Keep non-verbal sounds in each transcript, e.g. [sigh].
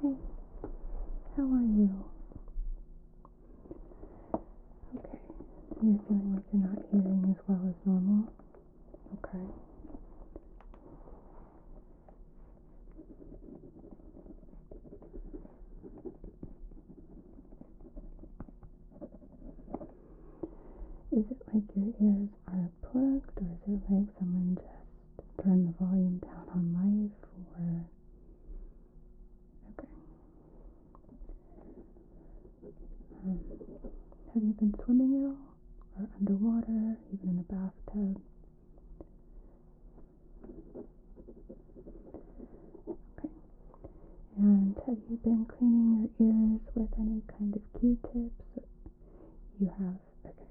Hey, how are you? Okay, so you're feeling like you're not hearing as well as normal? Okay. Is it like your ears are plugged, or is it like someone just turned the volume down on life? Or okay. Um, have you been swimming at all? or underwater, even in a bathtub. Okay. And have you been cleaning your ears with any kind of Q-tips? You have. Okay.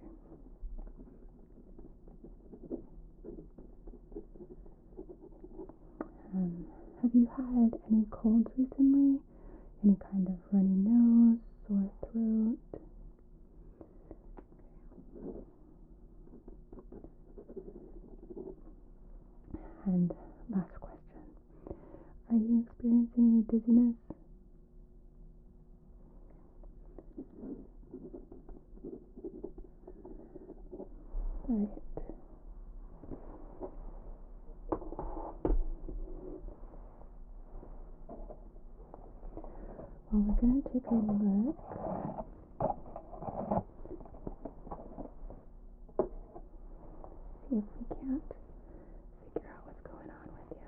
Um, have you had any colds recently? any kind of runny nose, sore throat. And last question Are you experiencing any dizziness? Alright. Well, we're going to take a look. See if we can't figure out what's going on with you. Nerves.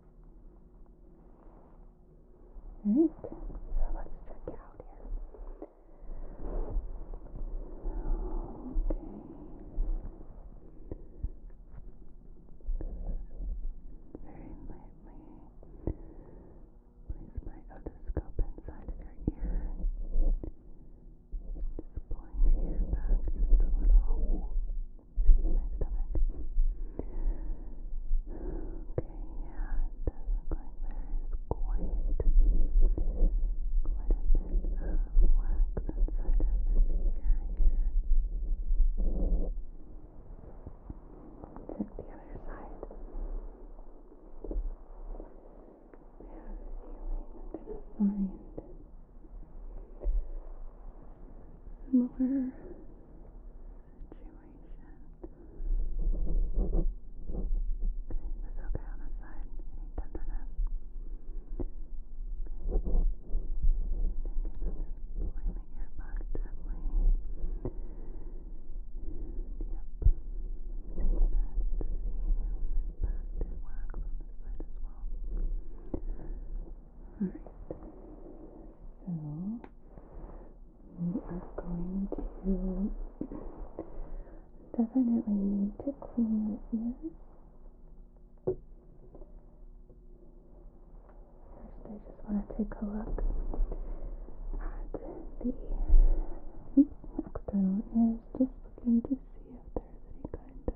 Alright, so let's check it out here. Okay. Very lightly place my otoscope inside of your ear. Just pulling your ear back just a little. Excuse my stomach. Okay, yeah, it does look like there is quite, quite a bit of wax inside of this ear here. Check the other side. I have a feeling I'm going to find similar situation. Okay, is okay on this side? Any tenderness? Okay, and again, I'm just pulling the ear back gently. And yep, seeing that, seeing the impact it wax on this side as well. All right. So we are going to definitely need to clean your ears. First, I just want to take a look at the external ears, just looking to see if there's any kind of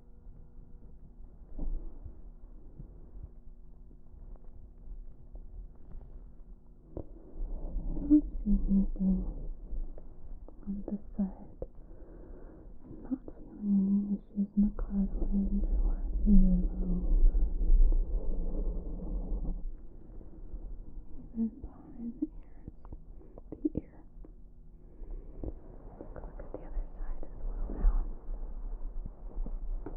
Not seeing anything on the side. I'm not feeling any issues in the cartilage or earlobe. Even behind the ears, Look at the other side as well now. Just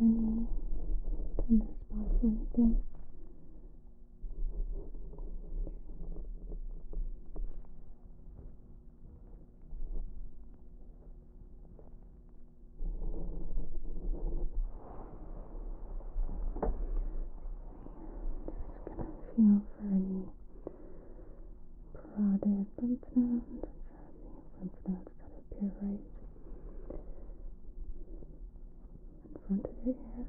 any tender spots or anything feel for any parotid lymph nodes. I'm trying to see lymph nodes that appear right in front of your ear.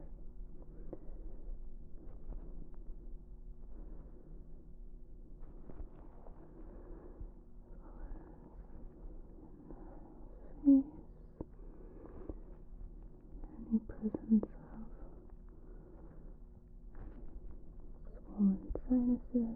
Space any presence of swollen sinuses.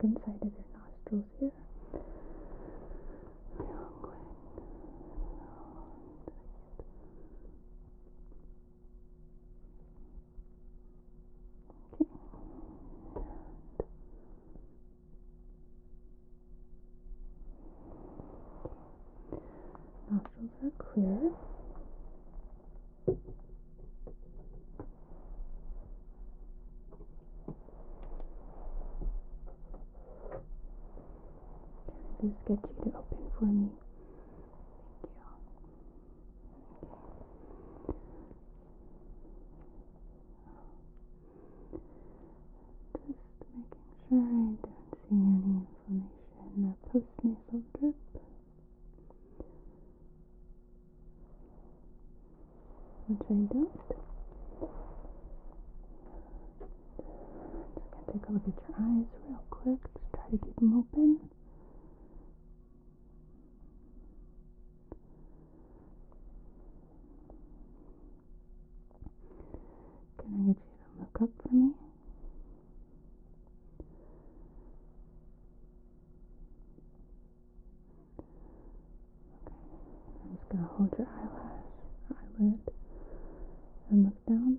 Take a look inside of your nostrils here. Good. Okay. And nostrils are clear. Just get you to open for me. Thank you. Just making sure I don't see any inflammation or postnasal drip. Which I don't. Just gonna take a look at your eyes real quick. try to keep them open. Can I get you to look up for me? I'm just going to hold your eyelash eyelid and look down.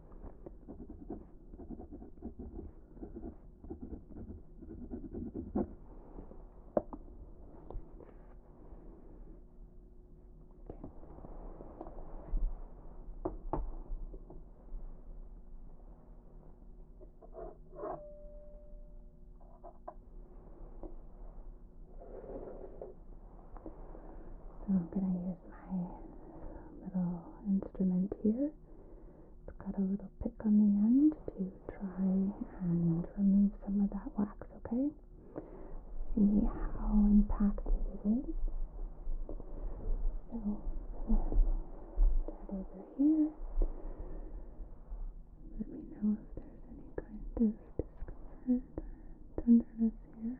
So I'm going to use my little instrument here. It's got a little pick on the end to try and remove some of that wax, okay? See how impacted it is. So, uh, start over here. Let me know if there's any kind of discomfort or tenderness here.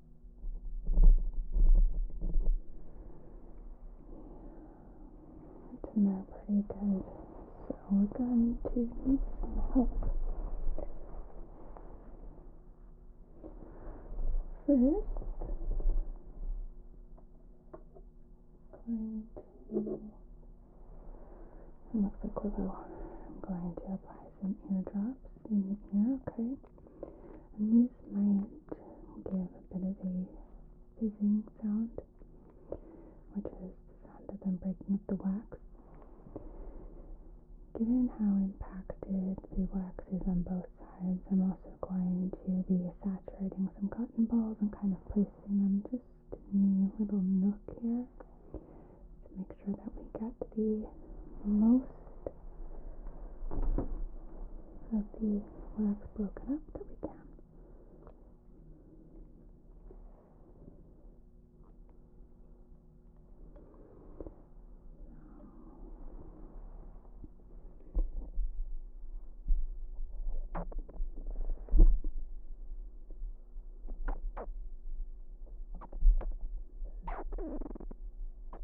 It turned out pretty good. So we're going to need some help. First, going to it looks like glue. I'm going to apply some eardrops in the ear, okay? and these might give a bit of a fizzing sound, which is the sound of them breaking up the wax. Given how impacted the wax is on both sides, I'm also going to be saturating some cotton balls and kind of placing them just in the little nook here to make sure that we get the most have the wax broken up that we can.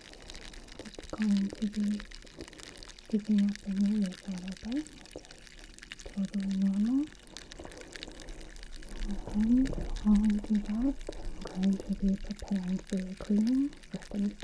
just going to be keeping up in your lip a totally normal. And while we do that, I'm going to be preparing for your cleaning with the meat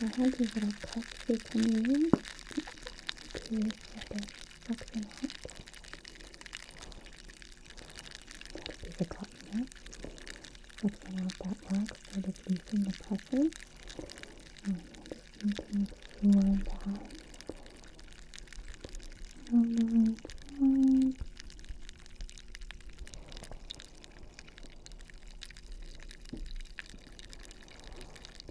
I have these little cups we can use Look me up. That'll be the gluttony. Looking out that lock so it is loosing the pressure. And we'll just continue flowing down. On the right side.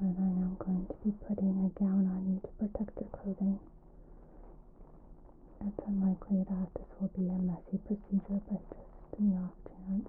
And I am going to be putting a gown on you to protect your clothing. It's unlikely that this will be a messy procedure, but just in the off chance.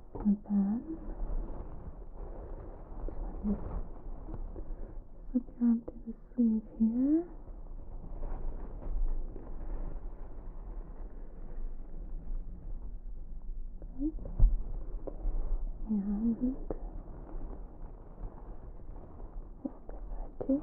And then so slip your arm through the sleeve here. Good. And the side too.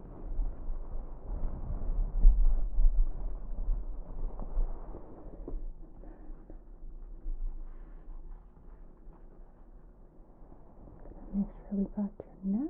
Make sure we got your neck.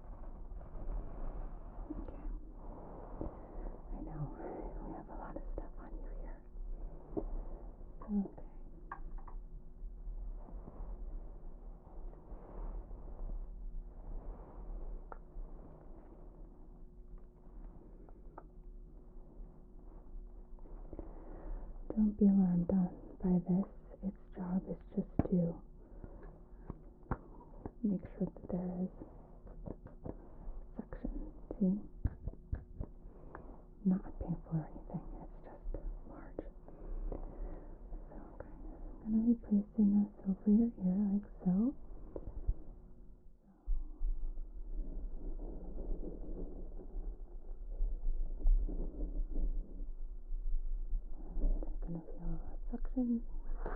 Okay. I know we have a lot of stuff on you here. Okay. Don't be alarmed by this. Its job is just to make sure that there is suction. See? Not painful or anything, it's just large. So, okay. I'm going to be placing this over your ear like so. And I'm going to feel a suction.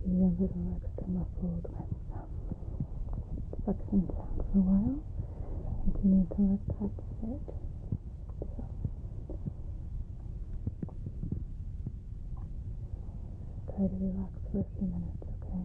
video little extra muscle advance. Suction sound for a while. I do need to let that sit. So. Try to relax for a few minutes, Okay.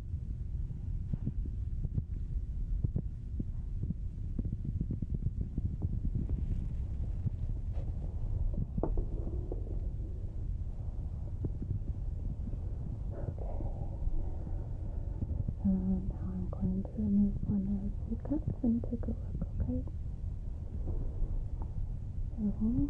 So now I'm going to remove one of the cups and take a look, okay? So,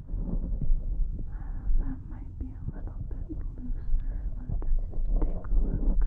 that might be a little bit looser. Let's take a look.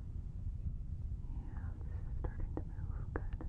Yeah, this is starting to move good. Good.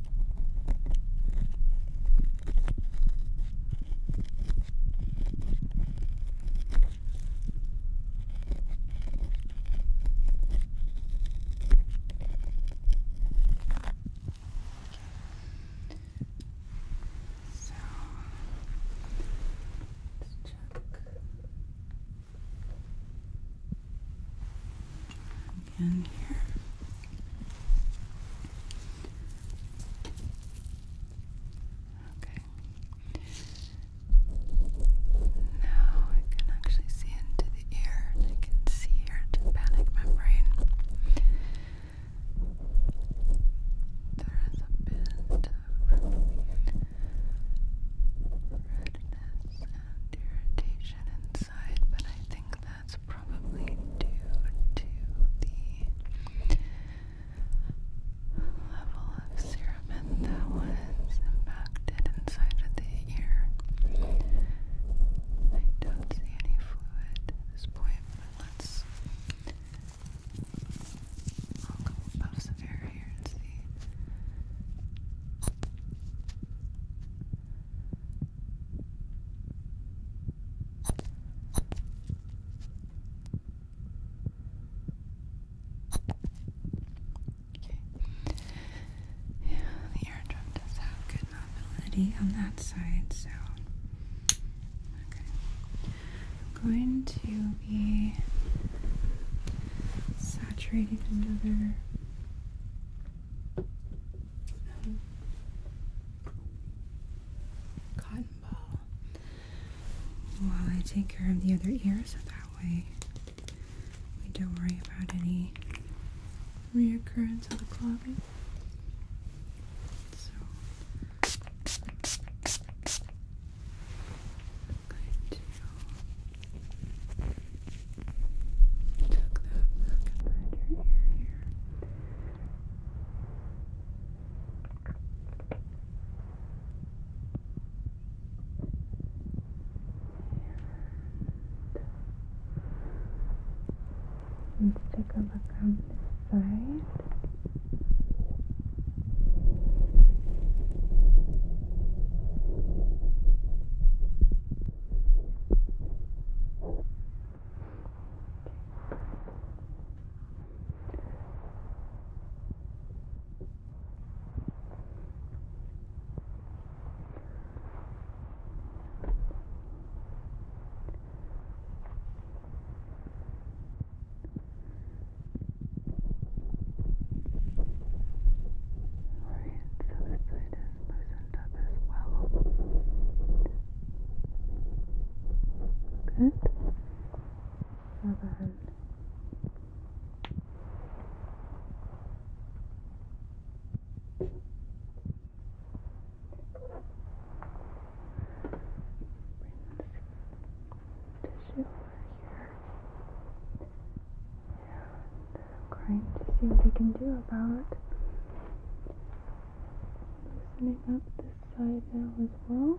So let's check again here. Okay. Now I can actually see into the ear I can see your tympanic membrane. There is a bit of redness and irritation inside, but I think that's probably due to the level of cerumen that was impacted inside of the ear. I don't see any fluid at this point, but let's I'll air here and see. Okay. Yeah, the eardrum does have good mobility on that side, so okay. I'm going to be saturating another um, cotton ball while I take care of the other ear so that way we don't worry about any reoccurrence of the clogging. So I'm going to tuck that back ear here. And let's take a look on this side. Alright, so this side is loosened up as well. Good. Other hand. Tissue over here. And I'm uh, going to see what I can do about Loosening up this side now as well.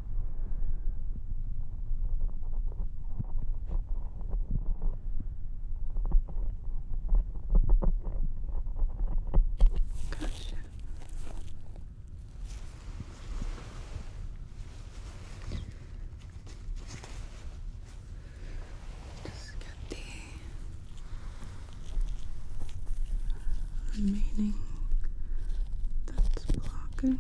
Gotcha. Just get the remaining that's blocking.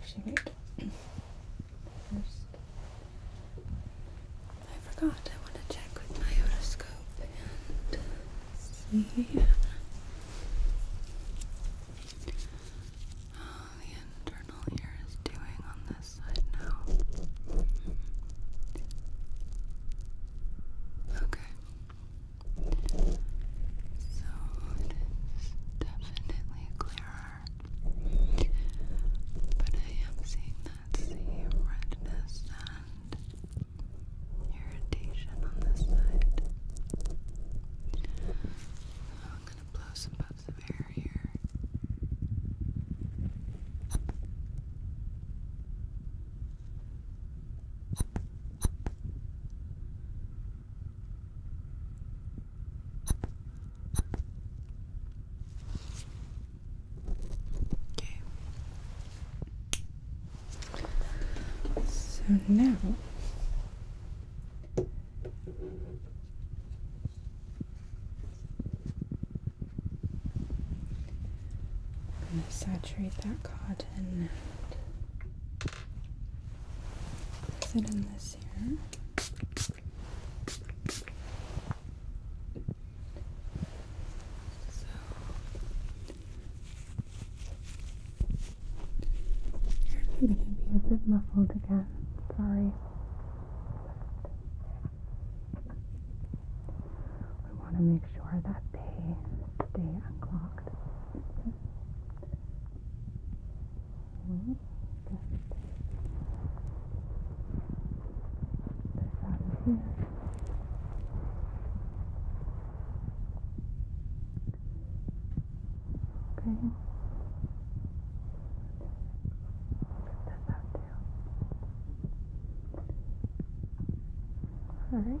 Actually, wait. First, I forgot. I want to check with my otoscope and see. How the internal ear is doing on this side now. Okay. So it is definitely but I am seeing that sea redness and irritation on this side. I'm gonna blow some puffs of air here. Okay. So now I'm going to saturate that cotton and sit in this this you gonna be a bit muffled again. Sorry. We want to make sure that they stay unclogged. Well, get this out of here. Okay. Get this out too. Alright.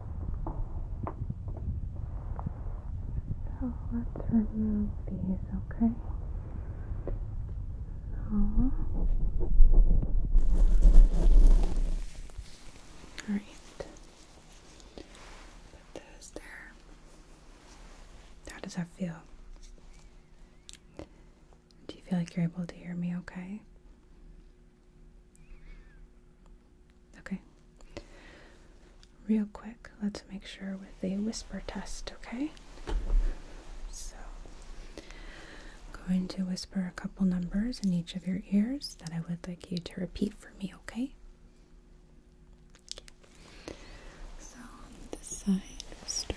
So let's remove these, okay? No. Alright. Put those there. How does that feel? Do you feel like you're able to hear me okay? Okay. Real quick, let's make sure with the whisper test, okay? So, I'm going to whisper a couple numbers in each of your ears that I would like you to repeat for me, okay? So, this side, start.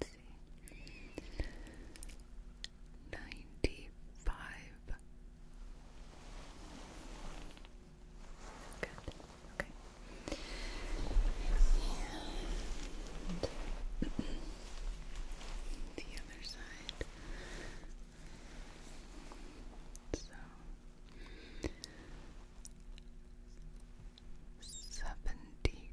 let's see. Ninety-five. Good. Okay. And the other side. So seventy-two.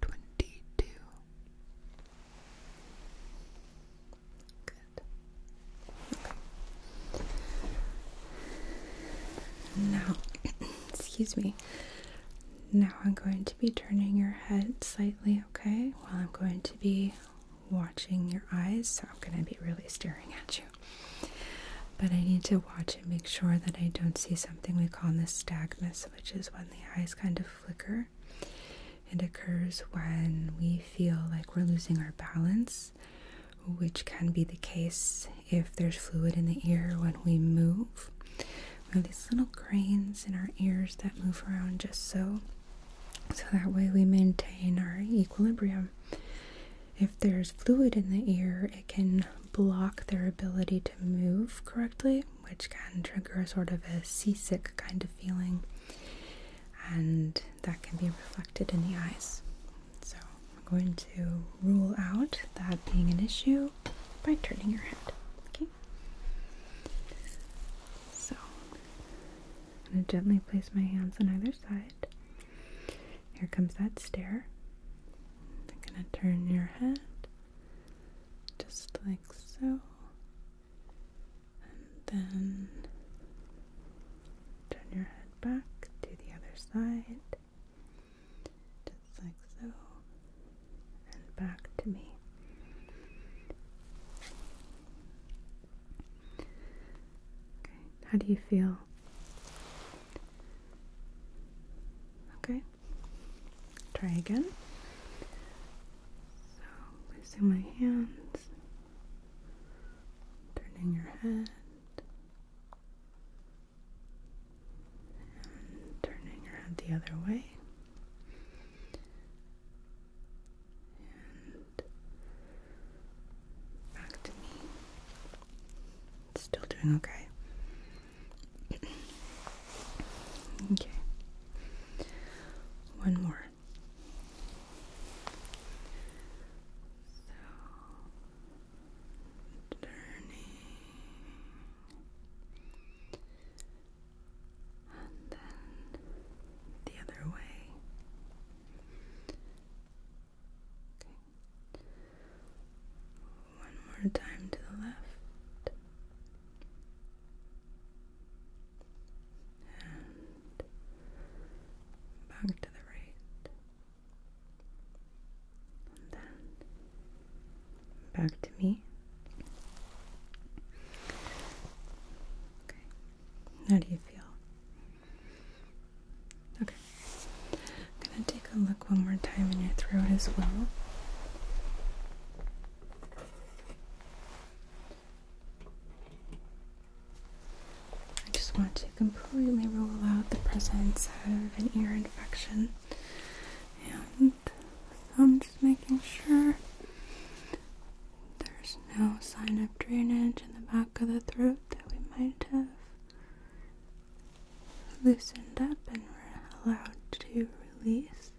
twenty two. Good. Now, [clears throat] excuse me. Now I'm going to be turning your head slightly, okay? While I'm going to be watching your eyes, so I'm going to be really staring at you. But I need to watch and make sure that I don't see something we call nystagmus, which is when the eyes kind of flicker it occurs when we feel like we're losing our balance, which can be the case if there's fluid in the ear when we move. We have these little grains in our ears that move around just so, so that way we maintain our equilibrium. If there's fluid in the ear, it can block their ability to move correctly, which can trigger sort of a seasick kind of feeling, and that can be reflected in the eyes. So, I'm going to rule out that being an issue by turning your head. Okay? So, I'm going to gently place my hands on either side. Here comes that stare. I'm going to turn your head just like so and then turn your head back to the other side, just like so, and back to me. Okay, how do you feel? Okay, try again. So, placing my hands, turning your head, turning your head the other way. And back to me. still doing okay. [clears throat] Okay. One more. So turning and then the other way. Okay. One more time to the left back to the right, then back to me. Okay, how do you feel? Okay, I'm gonna take a look one more time in your throat as well. I just want to completely rule out the presence of an ear infection. And I'm just making sure there's no sign of drainage in the back of the throat that we might have loosened up and allowed to release.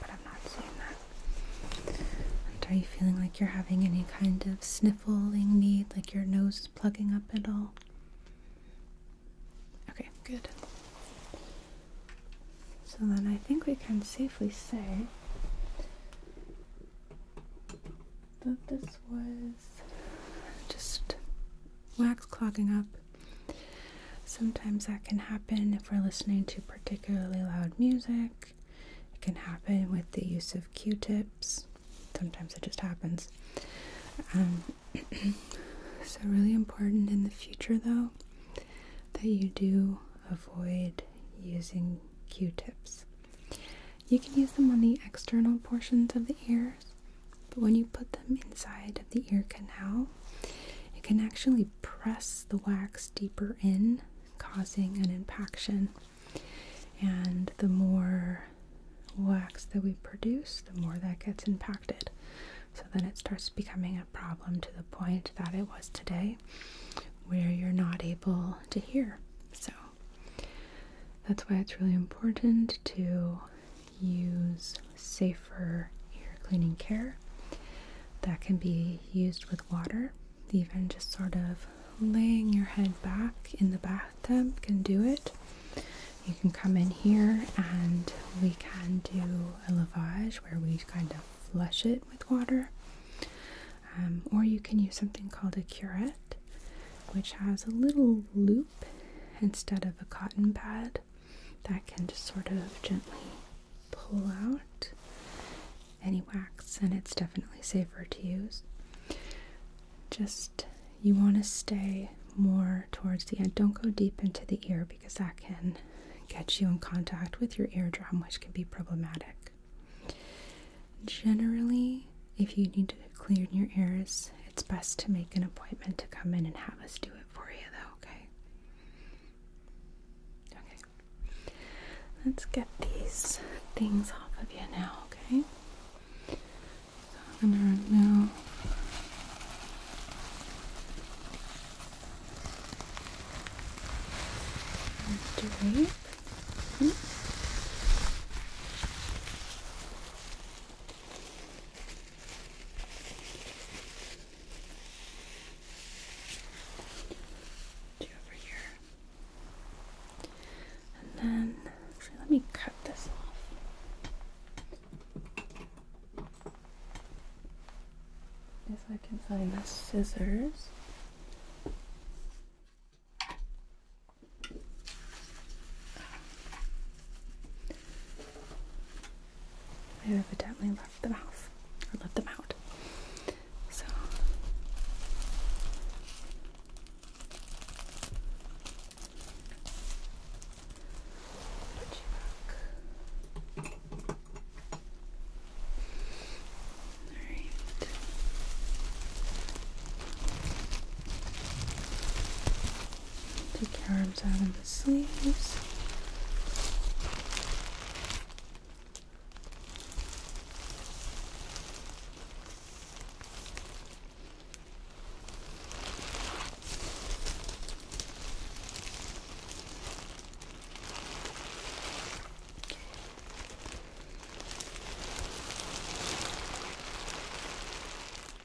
But I'm not seeing that. are you feeling like you're having any kind of sniffling need, like your nose is plugging up at all? Okay, good. So then I think we can safely say that this was just wax clogging up. Sometimes that can happen if we're listening to particularly loud music. It can happen with the use of q tips. Sometimes it just happens. Um, [clears throat] so, really important in the future though that you do avoid using q tips. You can use them on the external portions of the ears, but when you put them inside of the ear canal, it can actually press the wax deeper in, causing an impaction. And the more wax that we produce, the more that gets impacted. So then it starts becoming a problem to the point that it was today, where you're not able to hear. So that's why it's really important to use safer ear cleaning care that can be used with water. Even just sort of laying your head back in the bathtub can do it. You can come in here and we can do a lavage where we kind of flush it with water. Um, or you can use something called a curette, which has a little loop instead of a cotton pad that can just sort of gently pull out any wax, and it's definitely safer to use. Just you want to stay more towards the end. Don't go deep into the ear because that can get you in contact with your eardrum, which can be problematic. Generally, if you need to clear your ears, it's best to make an appointment to come in and have us do it for you, though, okay? Okay. Let's get these things off of you now, okay? So I'm gonna remove drape. Hmm? Two over here. And then, let me cut this off. If I can find the scissors. They evidently left the house. I left them out. So Alright. Take your arms out of the sleeves.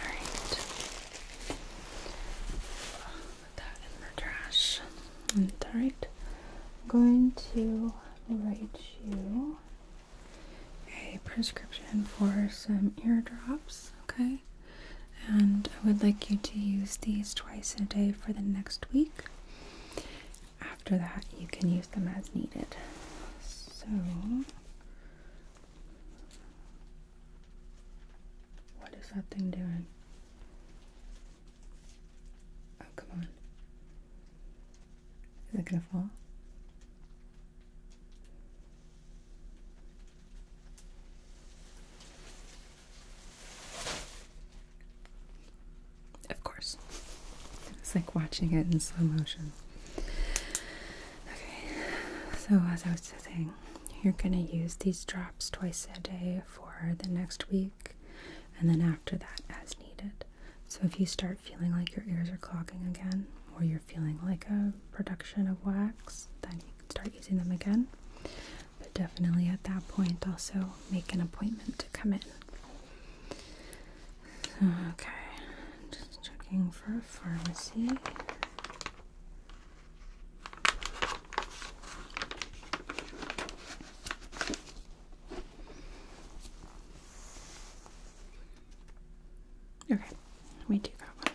Alright. Put that in the trash. alright. I'm going to write you a prescription for some eardrops, okay? And I would like you to use these twice a day for the next week. After that, you can use them as needed. So what is that thing doing? Oh, come on. Is it gonna fall? Of course. It's like watching it in slow motion. Okay, so as I was saying, you're going to use these drops twice a day for the next week and then after that as needed. So if you start feeling like your ears are clogging again or you're feeling like a production of wax, then you can start using them again. But definitely at that point also make an appointment to come in. Okay, just checking for a pharmacy. Okay, let me do that one.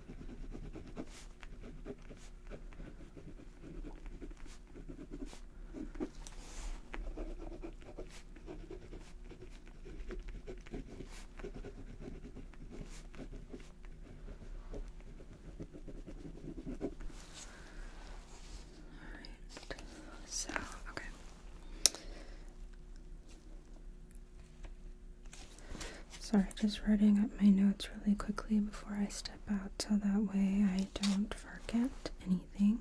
Alright, so okay. Sorry, just writing up my notes really quickly before I step out so that way I don't forget anything.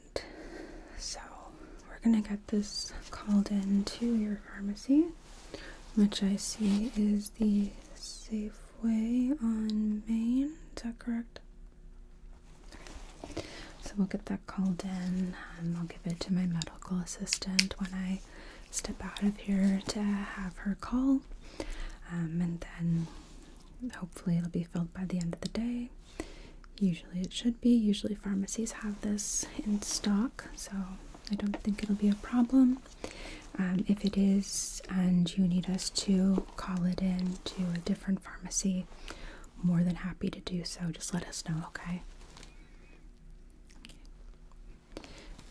So, we're going to get this called in to your pharmacy, which I see is the Safeway on Main. Is that correct? So, we'll get that called in and I'll give it to my medical assistant when I step out of here to have her call. Um, and then hopefully it'll be filled by the end of the day Usually it should be. Usually pharmacies have this in stock, so I don't think it'll be a problem. Um, if it is, and you need us to call it in to a different pharmacy, more than happy to do so. Just let us know, okay? Do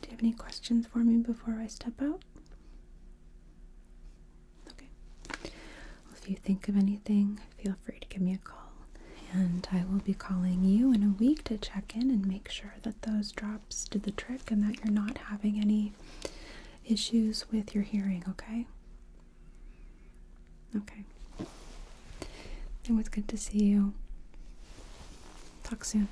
you have any questions for me before I step out? If you think of anything, feel free to give me a call. And I will be calling you in a week to check in and make sure that those drops did the trick and that you're not having any issues with your hearing, okay? Okay. It was good to see you. Talk soon.